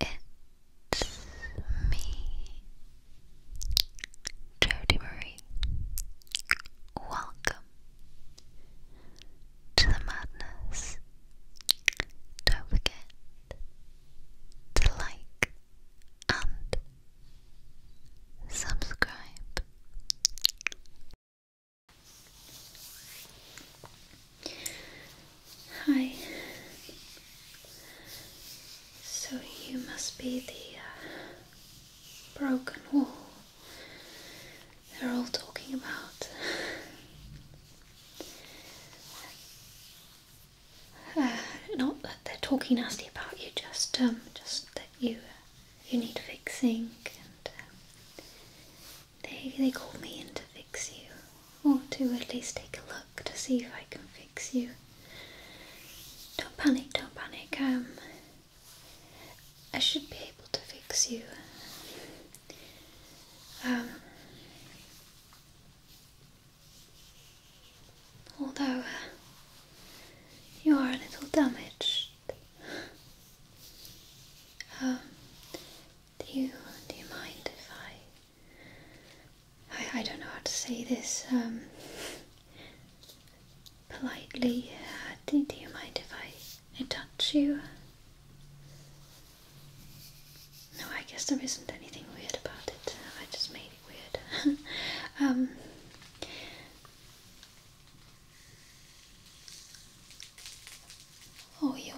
It's me, Jody Marie. Welcome to the madness. Don't forget to like and subscribe. Hi. So you must be the uh, broken wall they're all talking about. Uh, not that they're talking nasty about you, just um, just that you you need fixing um, they, they called me in to fix you, or to at least take a look to see if I can fix you. Don't panic, don't panic. Um, I should be able to fix you. Um, although uh, you are a little damaged. Um, do you do you mind if I I, I don't know how to say this um, politely? Uh, do, do you mind if I, I touch you? No, I guess there isn't anything weird about it. I just made it weird. Um, Oh, you're,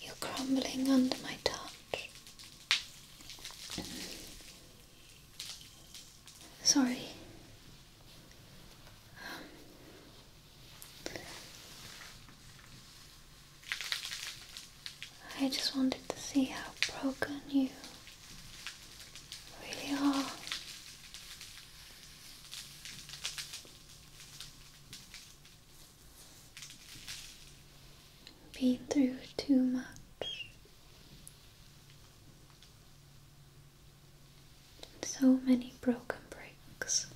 you're crumbling under my touch. Sorry. Um, I just wanted to see how broken you really are been through too much. So many broken bricks.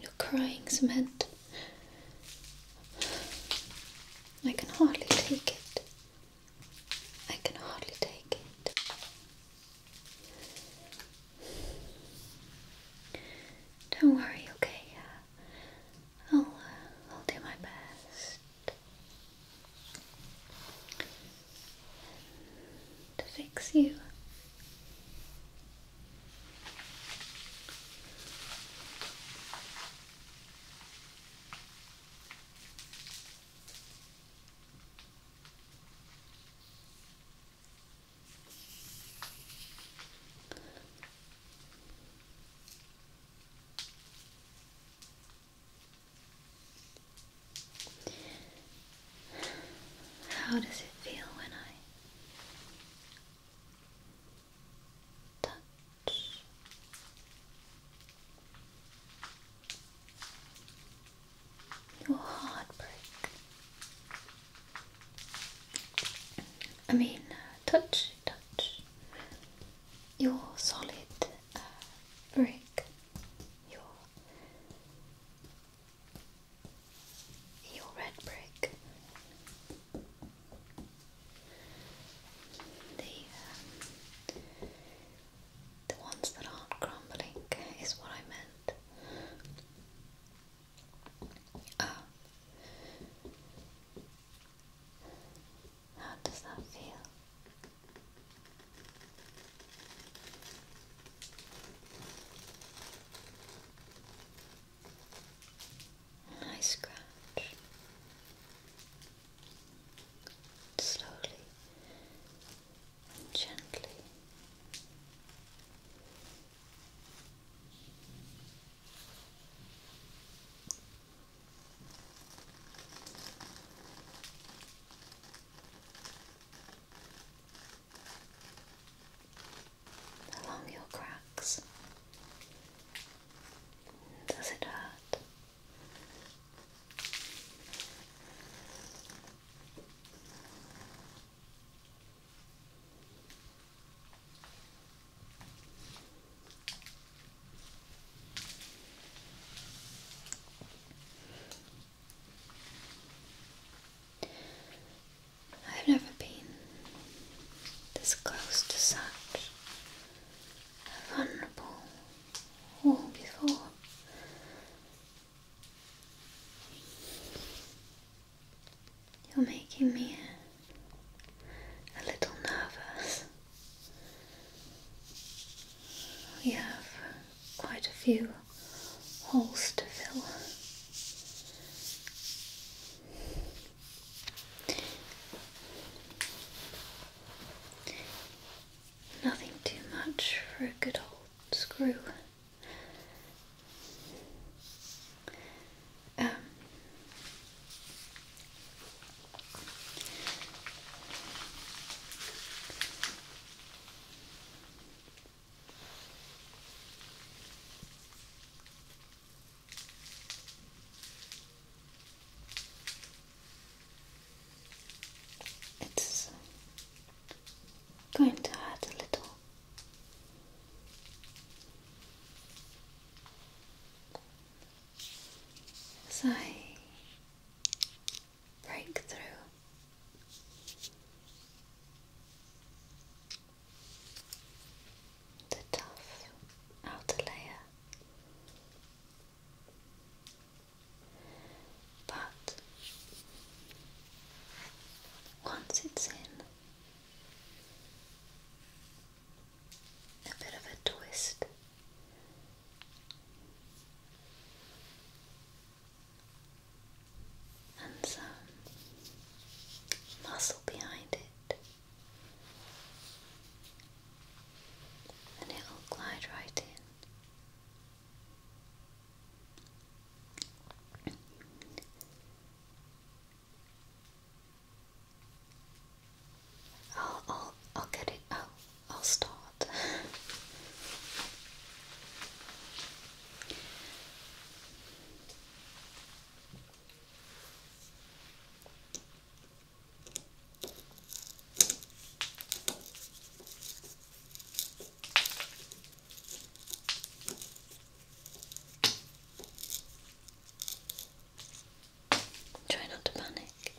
You're crying, Cement. I can hardly take it. I can hardly take it. Don't worry, okay? I'll, uh, I'll do my best to fix you. How does it feel when I touch? Your heartbreak. I mean, uh, touch, touch. Your solid uh, brick your your red brick. The um, the ones that aren't crumbling is what I meant. Ah. How does that feel? I scratch slowly and gently along your cracks. Does it hurt? I've never been this close to such a vulnerable wall before. You're making me a, a little nervous. We have quite a few holes to fill. Nothing too much for a good old screw. Um, it's going to hurt a little. As breakthrough. The tough outer layer, but once it's in, a bit of a twist and some muscle behind it, and it'll glide right in. I'll I'll I'll get it. I'll I'll start. Try not to panic.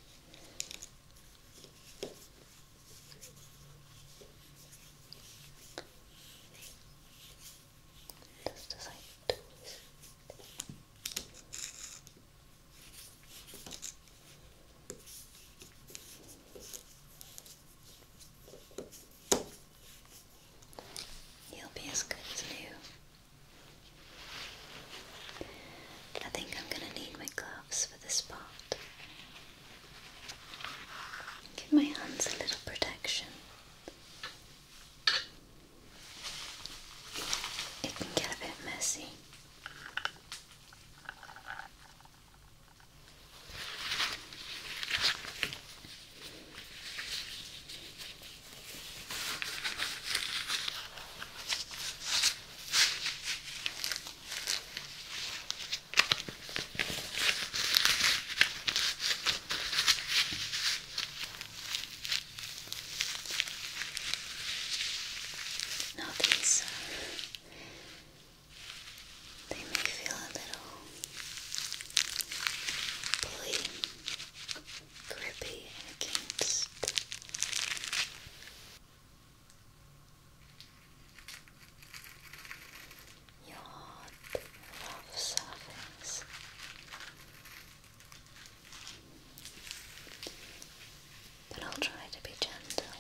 Just as I twist. You'll be as good as new. I think I'm going to need my gloves for this part. Give my hands a little protection. It can get a bit messy. Now these uh, they may feel a little blue grippy against your rough surface. But I'll try to be gentle.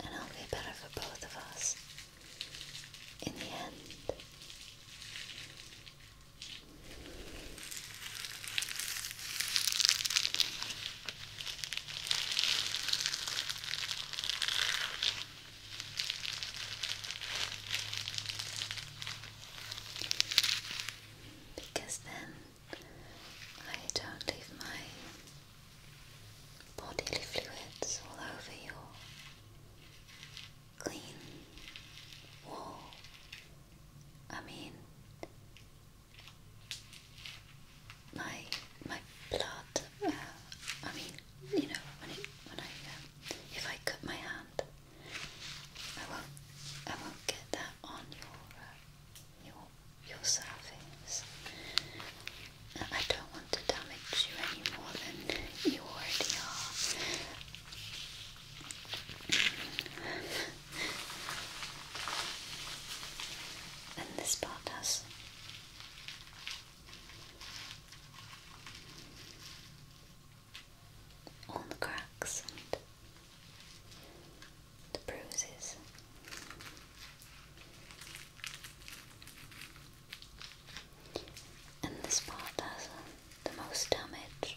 And I'll be better for both of us in the end. Because then I don't leave my bodily fluids all over your clean wall. I mean, my my blood. Uh, I mean, you know, when it when I um, if I cut my hand, I won't I won't get that on your uh, your your surface. I don't want to damage you any more than you already are. Then this part does. All the cracks and the bruises. And this part does the most damage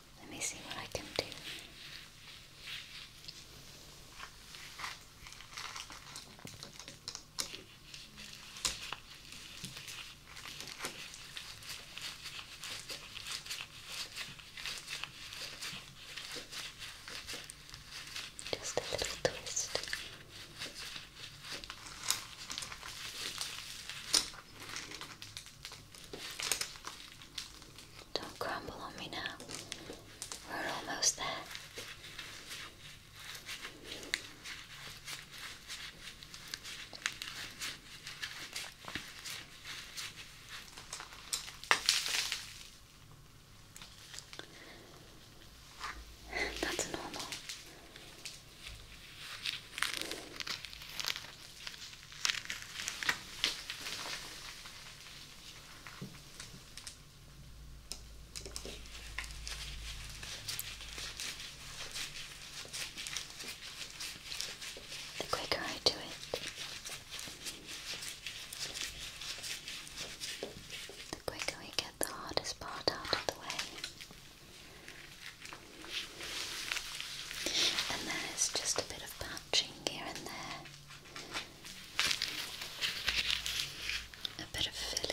Let me see what I can do. Just a little twist. Don't crumble on me now. We're almost there. That's normal. The quicker I do it, the quicker we get the hardest part out of the way. And then it's just a bit of touching here and there, a bit of filling.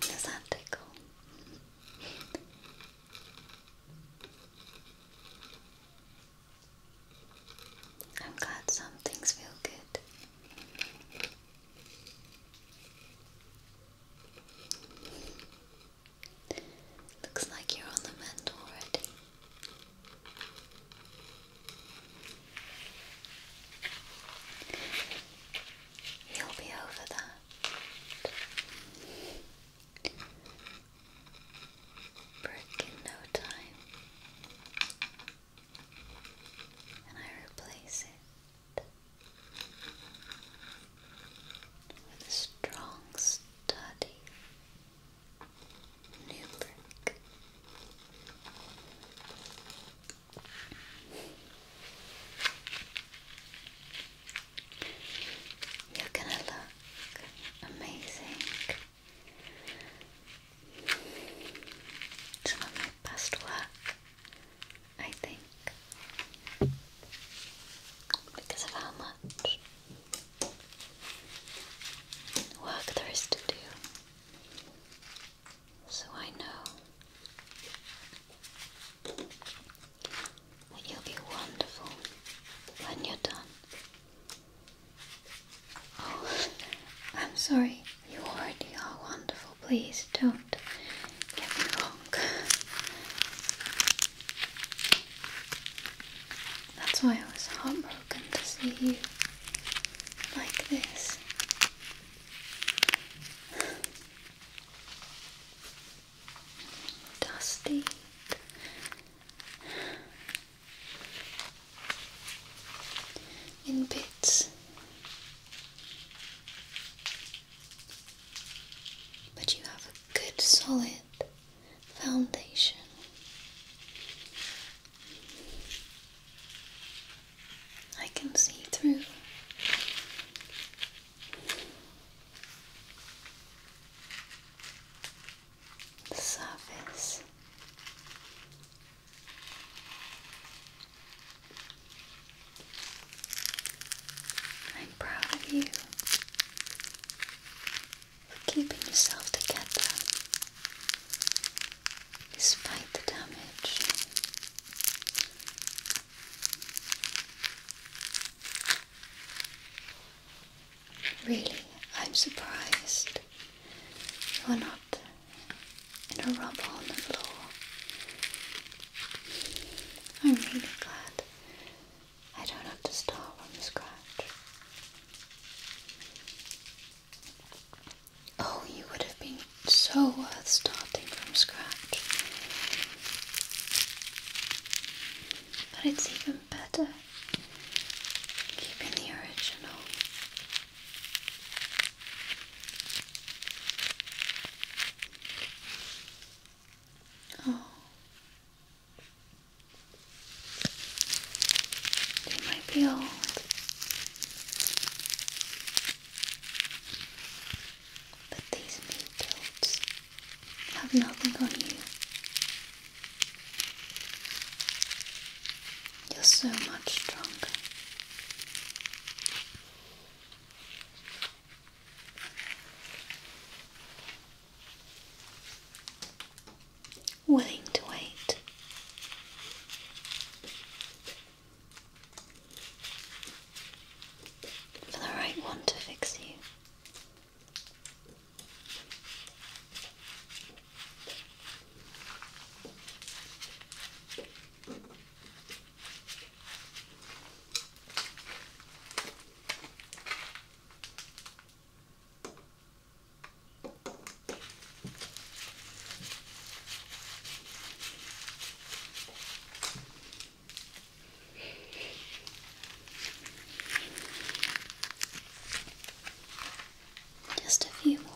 Does that tickle? I'm glad some things feel good. Looks like you're on the mend already. He'll be over that. Brick in no time. And I replace it with a strong, sturdy new brick. You're gonna look amazing. Some of my best work, I think, because of how much work there is to do so I know that you'll be wonderful when you're done. Oh, I'm sorry, you already are wonderful. Please don't get me wrong. That's why I was heartbroken to see you like this. Dusty. In bits, but you have a good solid foundation. I can see through. The surface. I'm proud of you for keeping yourself together despite the damage. Really, I'm surprised you are not in a rubble on the floor. I'm really glad I don't have to start from scratch. Oh, you would have been so worth starting from scratch. But it's even better keeping the original. Oh. They might be old, but these new builds have nothing on you. You're so much stronger. Willing to wait for the right one to fix you. Just a few more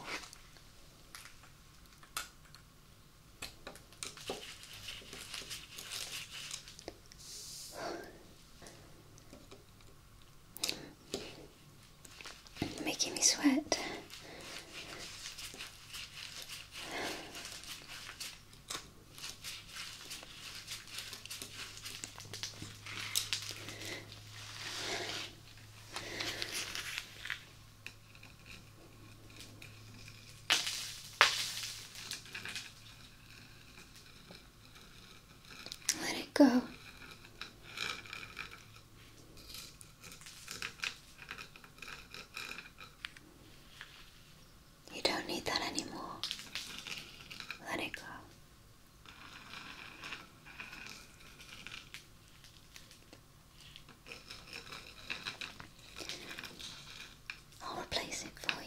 making me sweat. Let it go. You don't need that anymore. Let it go. I'll replace it for you.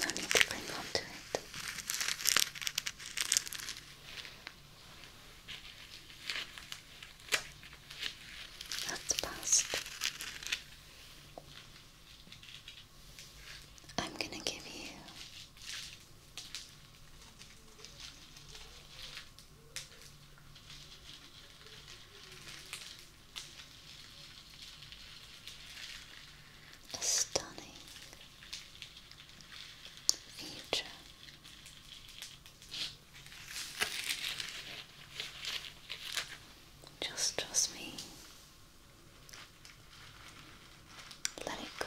No need to bring home to it. That's past. I'm going to give you the stunning feature just trust me let it go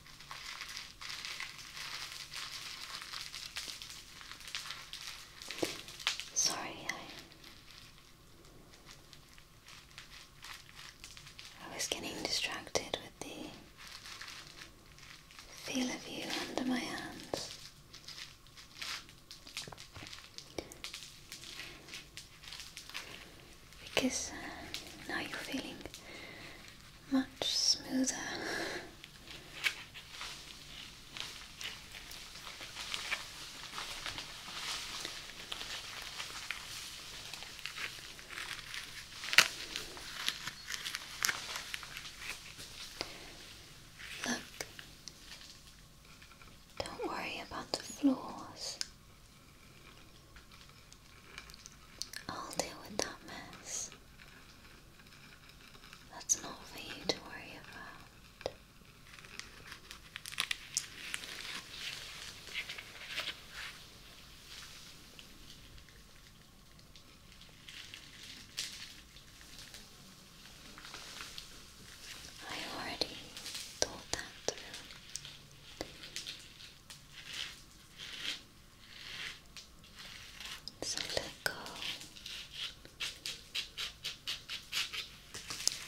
Sorry, I was getting distracted with the feel of you under my hands. Because uh, now you're feeling much smoother. Look, don't worry about the flaws. I'll deal with that mess. That's not for you to worry about. I already thought that through. So let go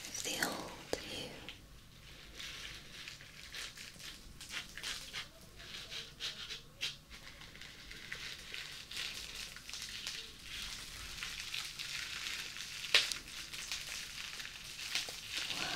of the old you. Wow.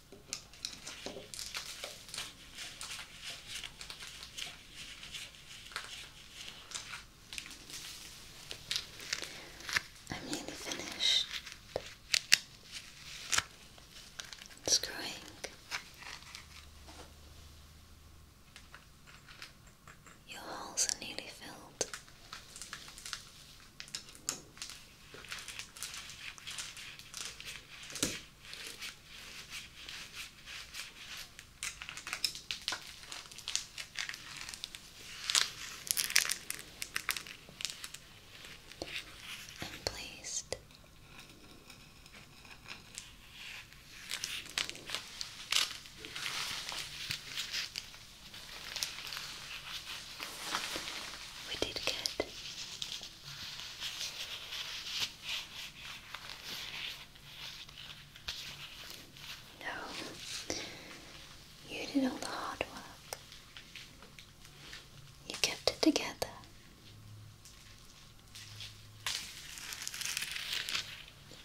I'm nearly finished screwing. Your holes are nearly filled and placed we did get no, you did all the hard work. You kept it together.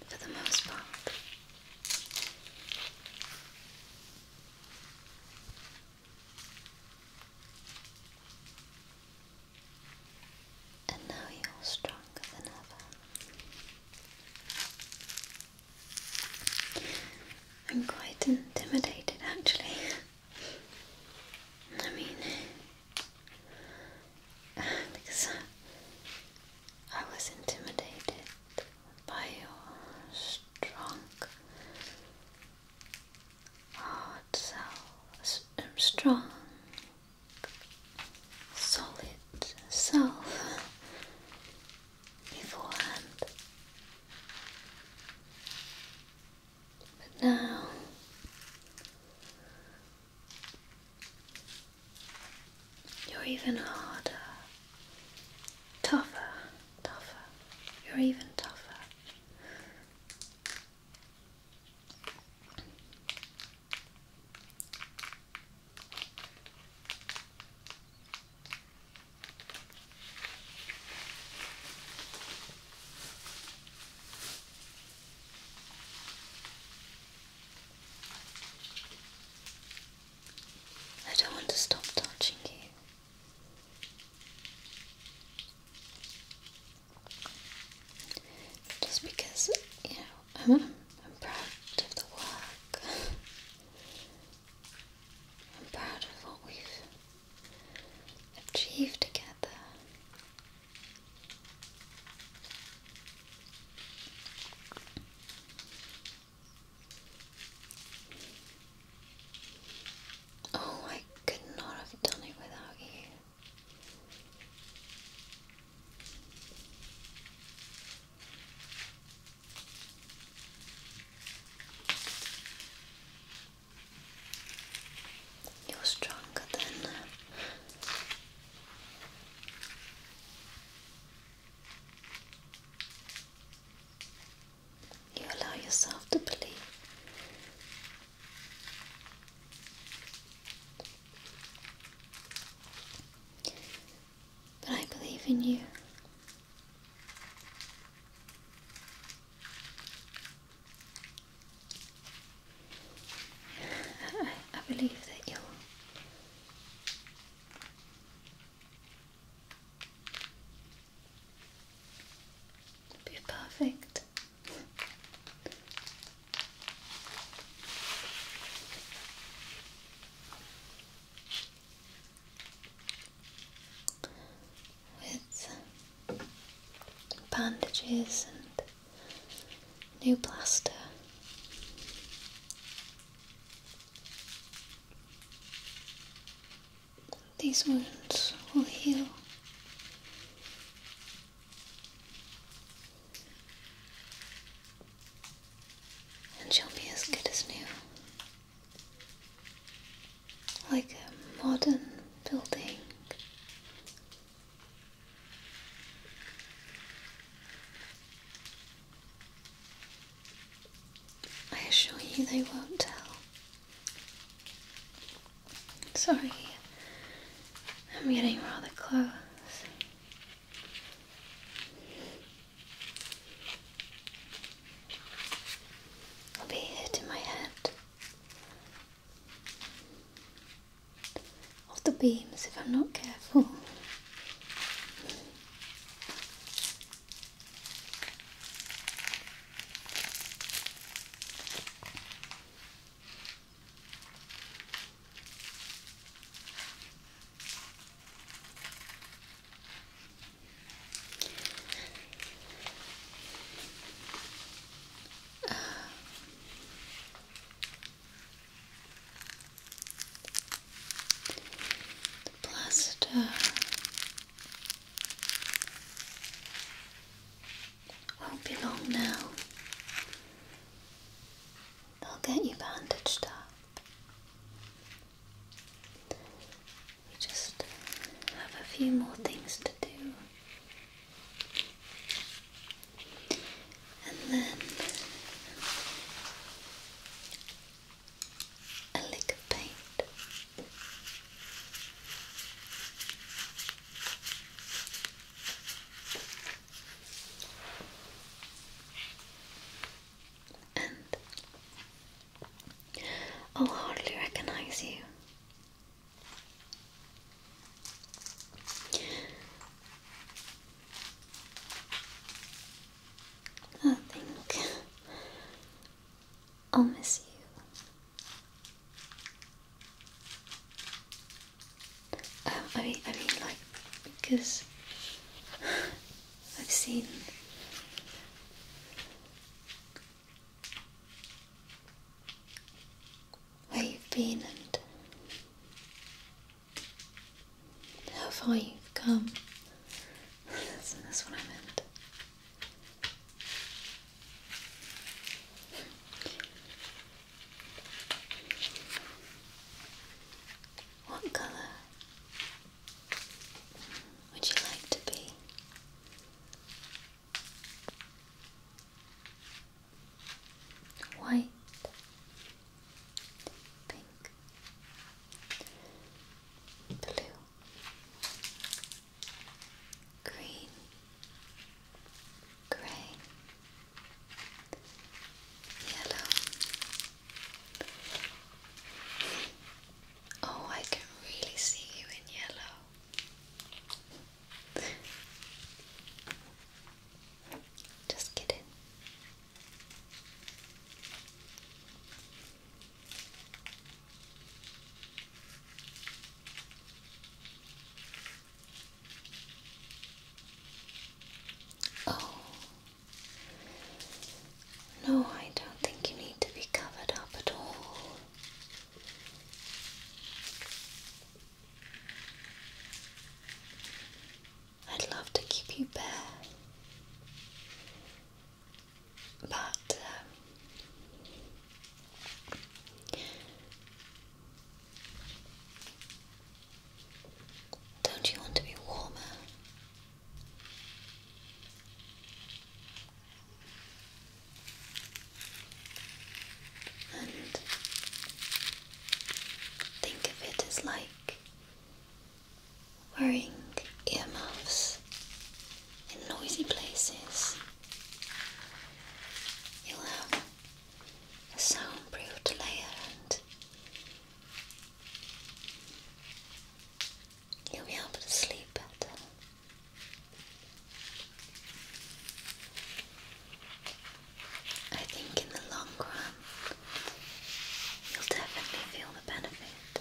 For the most part. And now you're stronger than ever. I'm quite intimidated actually. I mean, because I was intimidated by your strong Oh, it's strong, solid self beforehand, but now. You're even harder, tougher, tougher. You're even tougher. I don't want to stop touching you. Just because, you know, i I'm proud of the work. I'm proud of what we've achieved together. Oh, I could not have done it without you. You're stronger than you allow yourself to believe. But I believe in you. I, believe that you'll It'd be perfect. With bandages and new plaster these wounds will heal. And she will be as good as new. Like a modern building. I assure you they won't tell. Sorry, I'm getting rather close. I'll be hitting my head off the beams if I'm not careful. Uh, the plaster won't be long now. They'll get you bandaged up. We just have a few more things to do. And then a lick of paint. And I'll hardly recognize you. I think I'll miss you um, I mean, I mean, like, because I've seen where you've been and how far you've come. That's, that's what I meant. What colour would you like to be? White, pink, blue green, grey, yellow. Oh, I can really see you in yellow. Just kidding. Oh, no, I don't think you need to be covered up at all. I'd love to keep you bare but um, don't you want to be warmer? And think of it as like wearing earmuffs in noisy places. You'll have a soundproofed layer and you'll be able to sleep better. I think in the long run, you'll definitely feel the benefit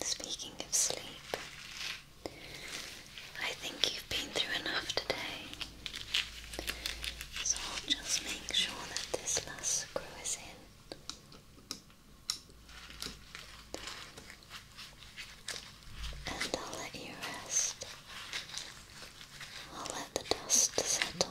Speaking of sleep, I think you've been through enough today, so I'll just make sure that this last screw is in. And I'll let you rest. I'll let the dust settle.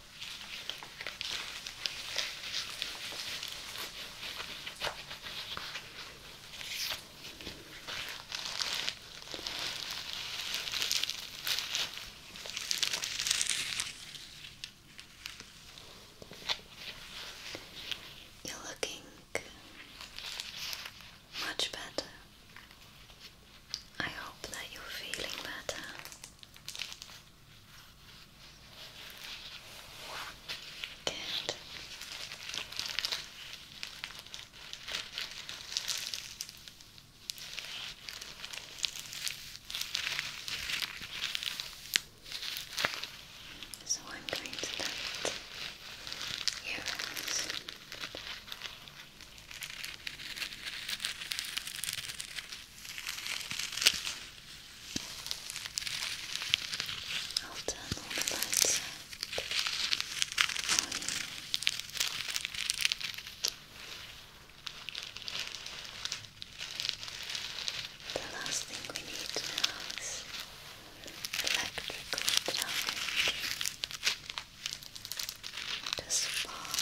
You're looking much better. I hope that you're feeling better. Good. So I'm going to let your I'll turn all the lights out you. The last thing we need is electrical charge. Just spark.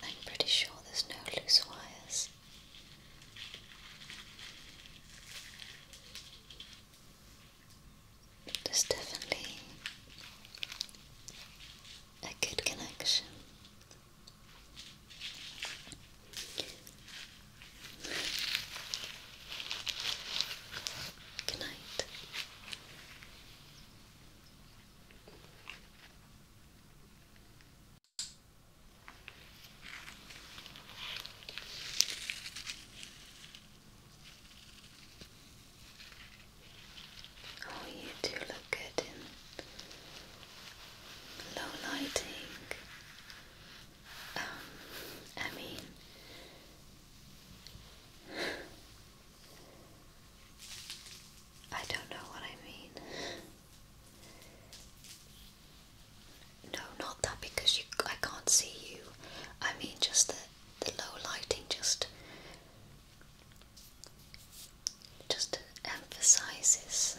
I'm pretty sure there's no loose wires. There's definitely a good connection. Good night. Oh, you do look good in low lighting. Um, I mean, I don't know what I mean. No, not that because I can't see you. I mean, just the, the low lighting, just just emphasizes.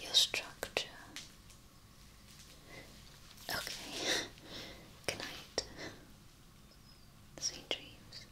Your structure. Okay. Good Sweet dreams.